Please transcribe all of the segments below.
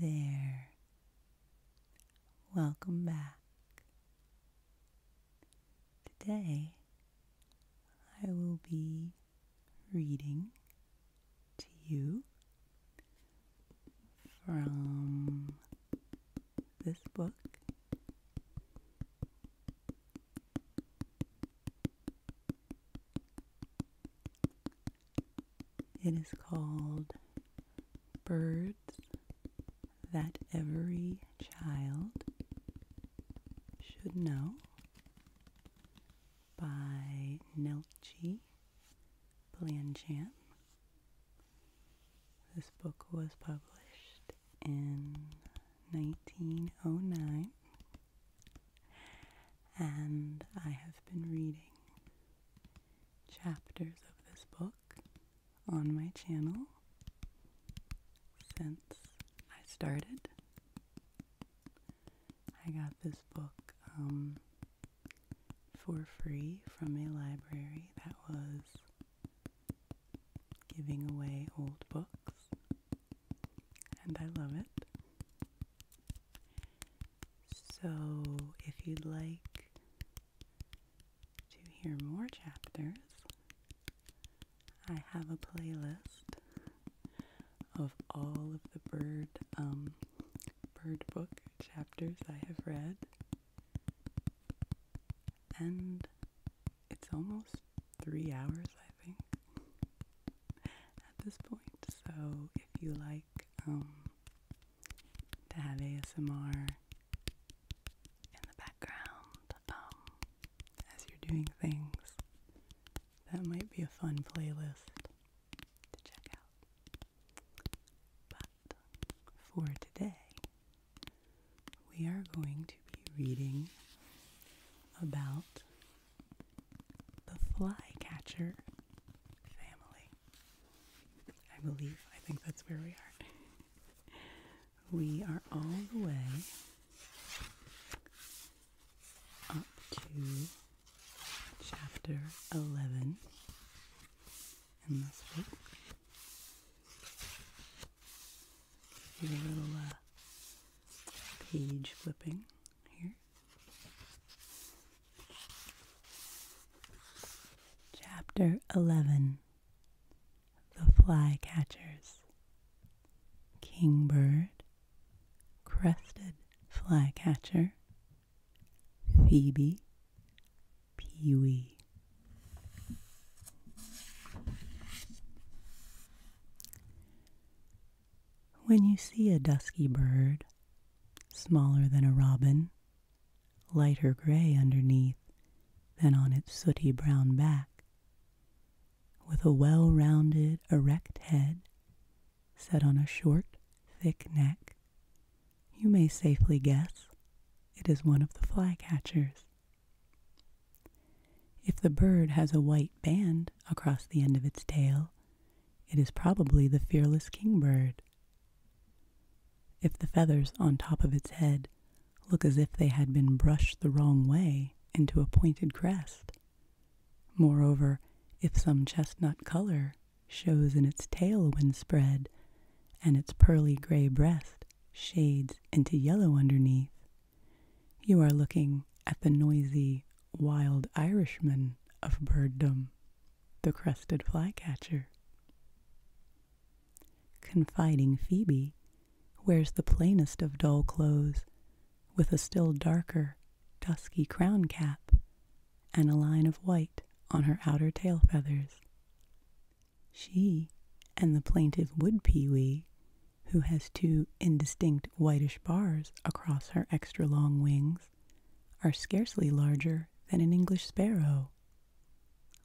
Hey there. Welcome back. Today I will be reading to you from this book it is called Birds That Every Child Should Know by Nelchi Blanchan. This book was published in 1909 and I have been reading chapters of this book on my channel since I started. I got this book um, for free from a library that was giving away old books and I love it. So, if you'd like to hear more chapters, I have a playlist of all of the bird um bird book chapters I have read. And it's almost 3 hours, I think at this point. So if you like um, to have ASMR in the background um, as you're doing things, that might be a fun playlist to check out. But for today, we are going to be reading about the flycatcher family. I believe, I think that's where we are. We are all the way up to chapter 11 in this book. Do a little uh, page flipping here. Chapter 11 The Flycatchers Kingbird, Crested Flycatcher, Phoebe, Pewee. When you see a dusky bird, smaller than a robin, lighter gray underneath than on its sooty brown back, with a well rounded, erect head set on a short, thick neck, you may safely guess it is one of the flycatchers. If the bird has a white band across the end of its tail, it is probably the fearless kingbird. If the feathers on top of its head look as if they had been brushed the wrong way into a pointed crest, moreover, if some chestnut color shows in its tail when spread, and its pearly gray breast shades into yellow underneath, you are looking at the noisy wild Irishman of birddom, the crested flycatcher. Confiding Phoebe wears the plainest of dull clothes, with a still darker, dusky crown cap and a line of white on her outer tail feathers. She and the plaintive wood pewee who has two indistinct whitish bars across her extra long wings, are scarcely larger than an English sparrow,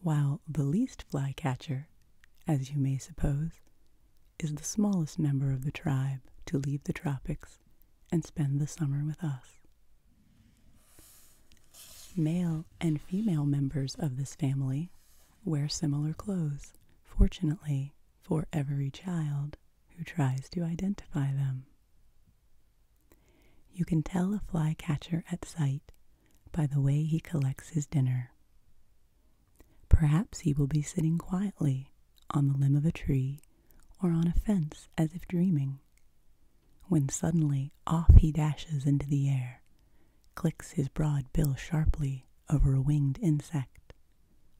while the least flycatcher, as you may suppose, is the smallest member of the tribe to leave the tropics and spend the summer with us. Male and female members of this family wear similar clothes. Fortunately, for every child who tries to identify them. You can tell a flycatcher at sight by the way he collects his dinner. Perhaps he will be sitting quietly on the limb of a tree or on a fence as if dreaming, when suddenly off he dashes into the air, clicks his broad bill sharply over a winged insect,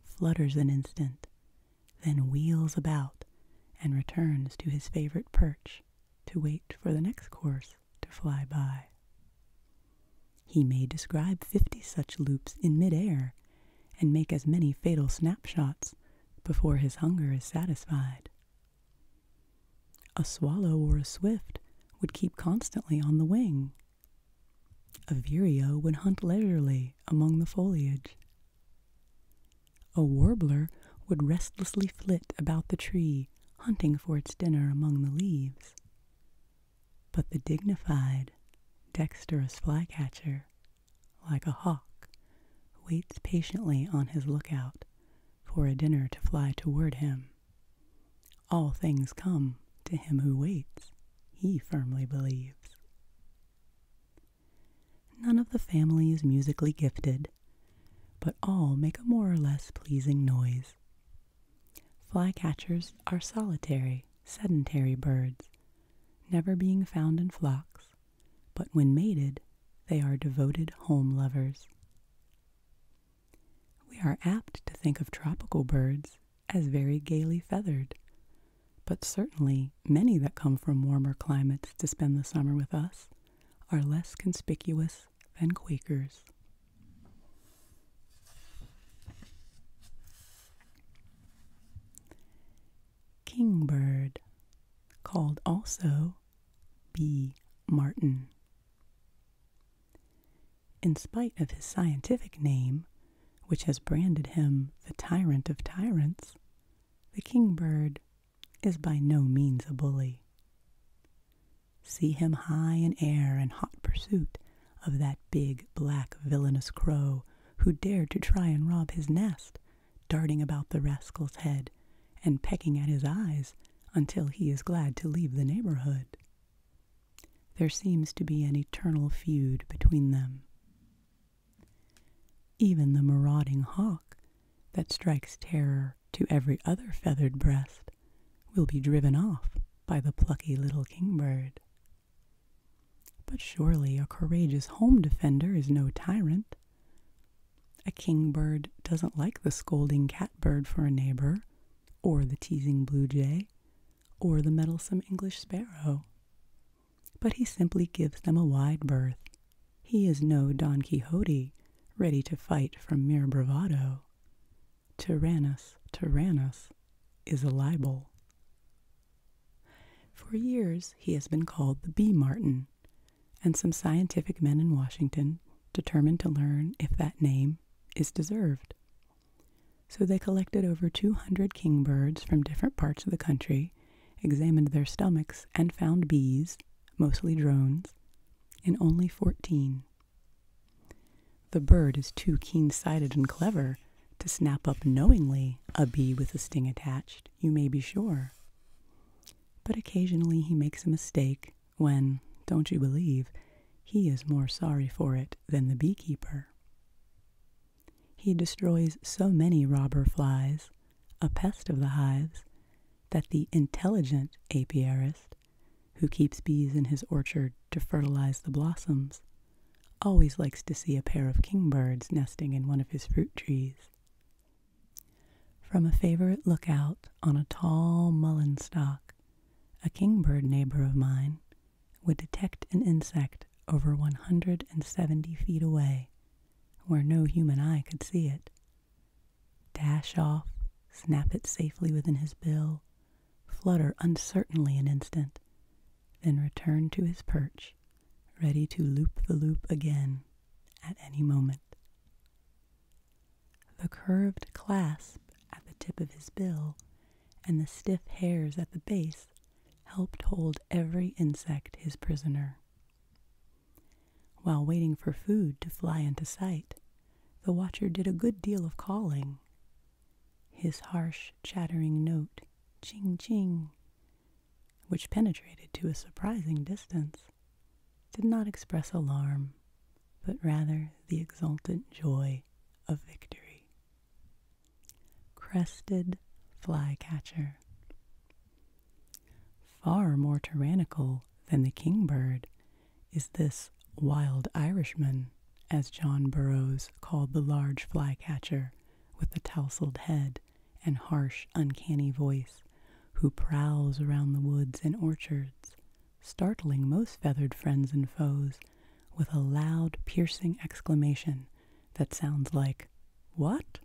flutters an instant, then wheels about and returns to his favorite perch to wait for the next course to fly by. He may describe fifty such loops in midair and make as many fatal snapshots before his hunger is satisfied. A swallow or a swift would keep constantly on the wing a vireo would hunt leisurely among the foliage. A warbler would restlessly flit about the tree, hunting for its dinner among the leaves. But the dignified, dexterous flycatcher, like a hawk, waits patiently on his lookout for a dinner to fly toward him. All things come to him who waits, he firmly believes. None of the family is musically gifted, but all make a more or less pleasing noise. Flycatchers are solitary, sedentary birds, never being found in flocks, but when mated, they are devoted home lovers. We are apt to think of tropical birds as very gaily feathered, but certainly many that come from warmer climates to spend the summer with us are less conspicuous than Quakers. Kingbird, called also B. Martin. In spite of his scientific name, which has branded him the tyrant of tyrants, the kingbird is by no means a bully. See him high in air in hot pursuit of that big, black, villainous crow who dared to try and rob his nest, darting about the rascal's head and pecking at his eyes until he is glad to leave the neighborhood. There seems to be an eternal feud between them. Even the marauding hawk that strikes terror to every other feathered breast will be driven off by the plucky little kingbird. But surely a courageous home defender is no tyrant. A kingbird doesn't like the scolding catbird for a neighbor, or the teasing blue jay, or the meddlesome English sparrow. But he simply gives them a wide berth. He is no Don Quixote, ready to fight from mere bravado. Tyrannus, Tyrannus is a libel. For years, he has been called the bee martin, and some scientific men in Washington determined to learn if that name is deserved. So they collected over 200 kingbirds from different parts of the country, examined their stomachs, and found bees, mostly drones, in only 14. The bird is too keen sighted and clever to snap up knowingly a bee with a sting attached, you may be sure. But occasionally he makes a mistake when, don't you believe, he is more sorry for it than the beekeeper. He destroys so many robber flies, a pest of the hives, that the intelligent apiarist, who keeps bees in his orchard to fertilize the blossoms, always likes to see a pair of kingbirds nesting in one of his fruit trees. From a favorite lookout on a tall mullein stalk, a kingbird neighbor of mine would detect an insect over 170 feet away where no human eye could see it, dash off, snap it safely within his bill, flutter uncertainly an instant, then return to his perch, ready to loop the loop again at any moment. The curved clasp at the tip of his bill and the stiff hairs at the base helped hold every insect his prisoner. While waiting for food to fly into sight, the watcher did a good deal of calling. His harsh, chattering note, ching ching, which penetrated to a surprising distance, did not express alarm, but rather the exultant joy of victory. Crested flycatcher. Far more tyrannical than the kingbird is this wild Irishman, as John Burroughs called the large flycatcher with the tousled head and harsh, uncanny voice, who prowls around the woods and orchards, startling most feathered friends and foes with a loud, piercing exclamation that sounds like, What?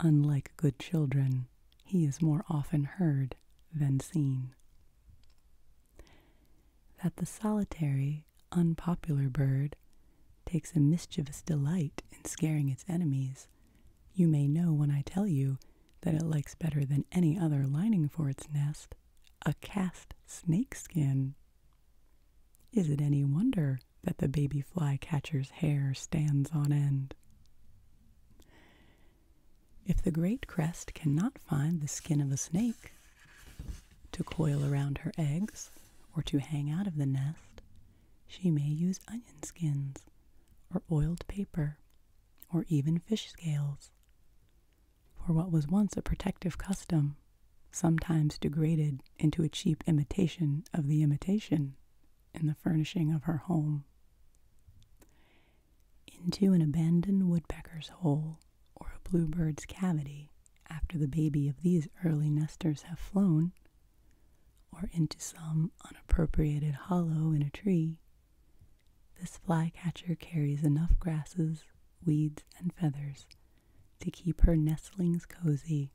Unlike good children, he is more often heard than seen. That the solitary, unpopular bird takes a mischievous delight in scaring its enemies you may know when I tell you that it likes better than any other lining for its nest a cast snake skin. Is it any wonder that the baby flycatcher's hair stands on end? If the great crest cannot find the skin of a snake to coil around her eggs or to hang out of the nest, she may use onion skins or oiled paper or even fish scales. For what was once a protective custom, sometimes degraded into a cheap imitation of the imitation in the furnishing of her home. Into an abandoned woodpecker's hole or a bluebird's cavity, after the baby of these early nesters have flown, or into some unappropriated hollow in a tree, this flycatcher carries enough grasses, weeds, and feathers to keep her nestlings cozy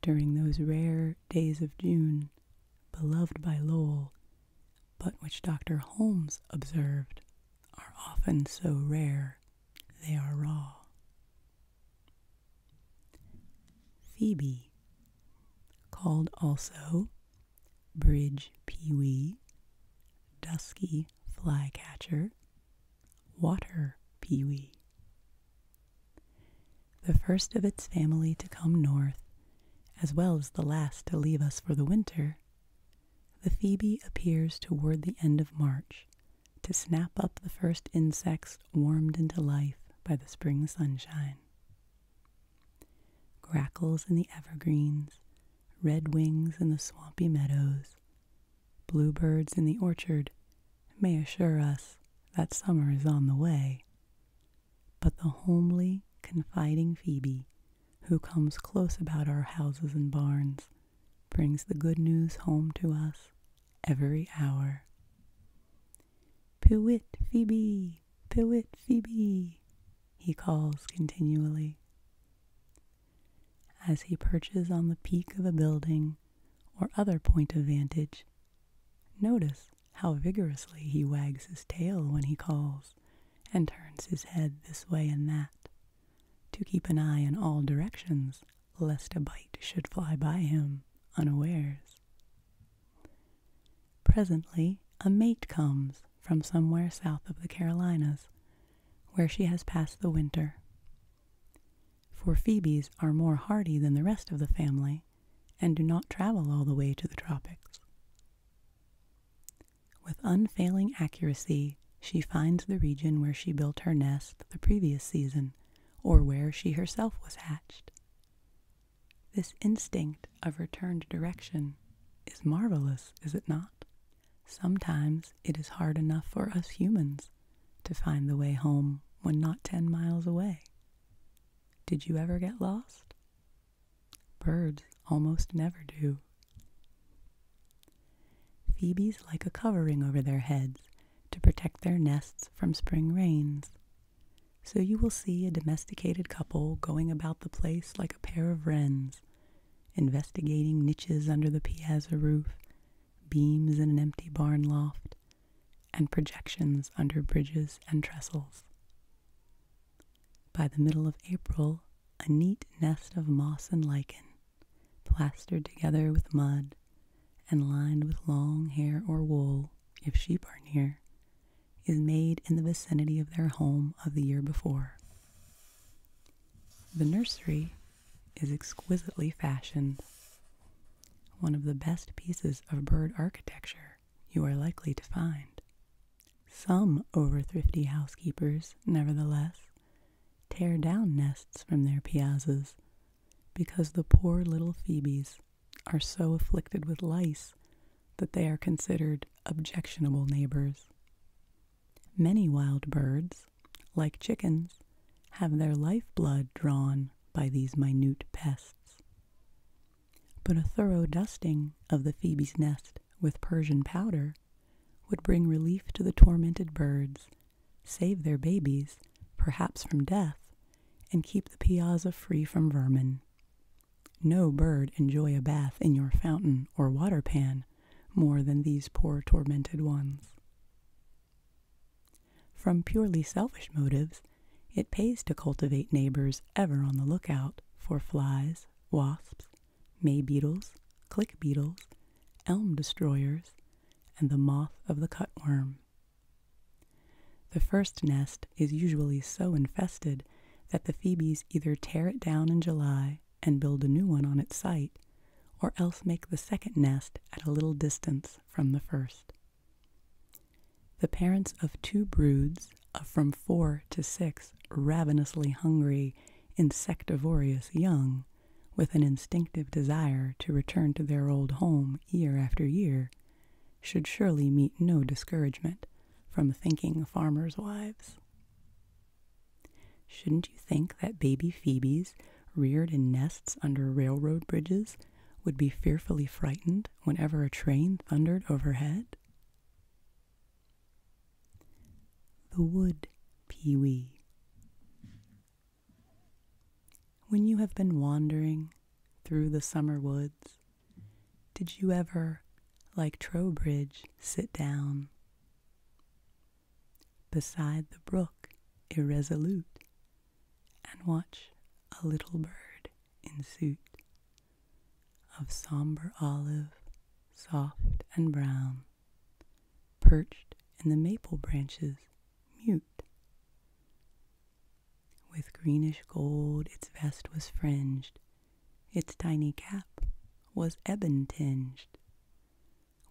during those rare days of June, beloved by Lowell, but which Dr. Holmes observed are often so rare they are raw. Phoebe called also bridge pewee, dusky flycatcher, water pewee. The first of its family to come north, as well as the last to leave us for the winter, the phoebe appears toward the end of March to snap up the first insects warmed into life by the spring sunshine grackles in the evergreens, red wings in the swampy meadows, bluebirds in the orchard may assure us that summer is on the way. But the homely, confiding Phoebe, who comes close about our houses and barns, brings the good news home to us every hour. Pewit Phoebe, Pewit Phoebe, he calls continually. As he perches on the peak of a building or other point of vantage, notice how vigorously he wags his tail when he calls and turns his head this way and that to keep an eye in all directions lest a bite should fly by him unawares. Presently, a mate comes from somewhere south of the Carolinas, where she has passed the winter. For Phoebes are more hardy than the rest of the family and do not travel all the way to the tropics. With unfailing accuracy, she finds the region where she built her nest the previous season or where she herself was hatched. This instinct of returned direction is marvelous, is it not? Sometimes it is hard enough for us humans to find the way home when not 10 miles away. Did you ever get lost? Birds almost never do. Phoebes like a covering over their heads to protect their nests from spring rains, so you will see a domesticated couple going about the place like a pair of wrens, investigating niches under the piazza roof, beams in an empty barn loft, and projections under bridges and trestles. By the middle of April, a neat nest of moss and lichen, plastered together with mud, and lined with long hair or wool, if sheep are near, is made in the vicinity of their home of the year before. The nursery is exquisitely fashioned, one of the best pieces of bird architecture you are likely to find. Some over thrifty housekeepers, nevertheless, tear down nests from their piazzas because the poor little Phoebes are so afflicted with lice that they are considered objectionable neighbors. Many wild birds, like chickens, have their lifeblood drawn by these minute pests. But a thorough dusting of the Phoebe's nest with Persian powder would bring relief to the tormented birds, save their babies, perhaps from death, and keep the piazza free from vermin. No bird enjoy a bath in your fountain or water pan more than these poor tormented ones. From purely selfish motives, it pays to cultivate neighbors ever on the lookout for flies, wasps, may beetles, click beetles, elm destroyers, and the moth of the cutworm. The first nest is usually so infested that the Phoebes either tear it down in July and build a new one on its site, or else make the second nest at a little distance from the first. The parents of two broods of uh, from four to six ravenously hungry, insectivorous young, with an instinctive desire to return to their old home year after year should surely meet no discouragement from thinking farmers' wives. Shouldn't you think that baby Phoebes reared in nests under railroad bridges would be fearfully frightened whenever a train thundered overhead? The wood pewee. When you have been wandering through the summer woods, did you ever, like Trowbridge, sit down beside the brook irresolute and watch a little bird in suit of somber olive, soft and brown, perched in the maple branches mute. With greenish gold its vest was fringed, its tiny cap was ebon tinged.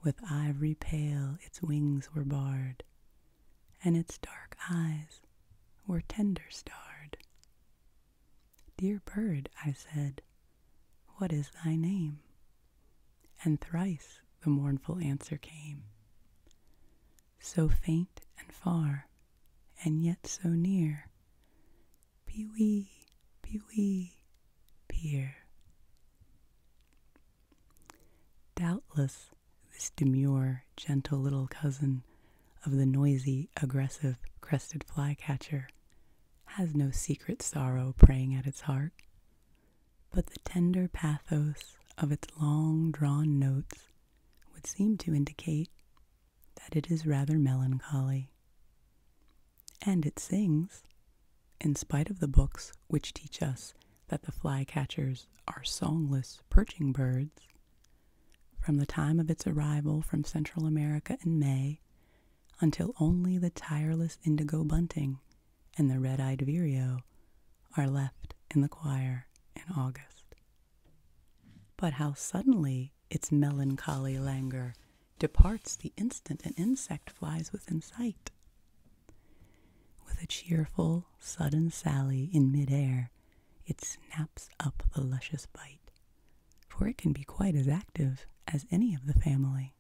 With ivory pale its wings were barred, and its dark eyes were tender starred. Dear bird, I said, what is thy name? And thrice the mournful answer came, so faint and far, and yet so near. Pewee, pewee, pier. Doubtless, this demure, gentle little cousin of the noisy, aggressive crested flycatcher has no secret sorrow preying at its heart but the tender pathos of its long drawn notes would seem to indicate that it is rather melancholy. And it sings, in spite of the books which teach us that the flycatchers are songless perching birds, from the time of its arrival from Central America in May until only the tireless indigo bunting and the red eyed Vireo are left in the choir in August. But how suddenly its melancholy languor departs the instant an insect flies within sight. With a cheerful, sudden sally in mid air, it snaps up the luscious bite, for it can be quite as active as any of the family.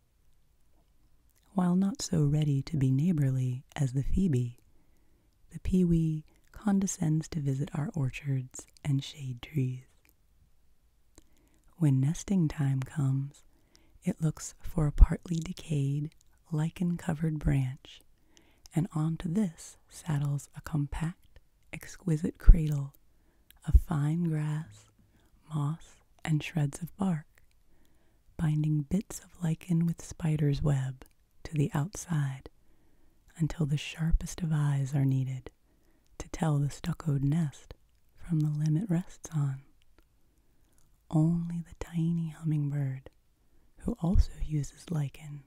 While not so ready to be neighborly as the phoebe, the pewee condescends to visit our orchards and shade trees. When nesting time comes, it looks for a partly decayed, lichen covered branch, and onto this saddles a compact, exquisite cradle of fine grass, moss, and shreds of bark, binding bits of lichen with spider's web to the outside until the sharpest of eyes are needed to tell the stuccoed nest from the limb it rests on. Only the tiny hummingbird, who also uses lichen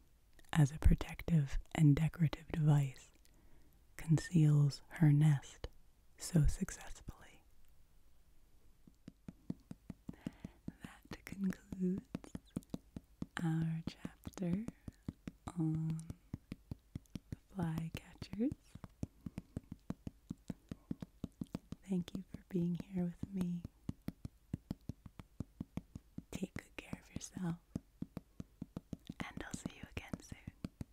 as a protective and decorative device, conceals her nest so successfully. That concludes our chapter on fly Thank you for being here with me. Take good care of yourself, and I'll see you again soon.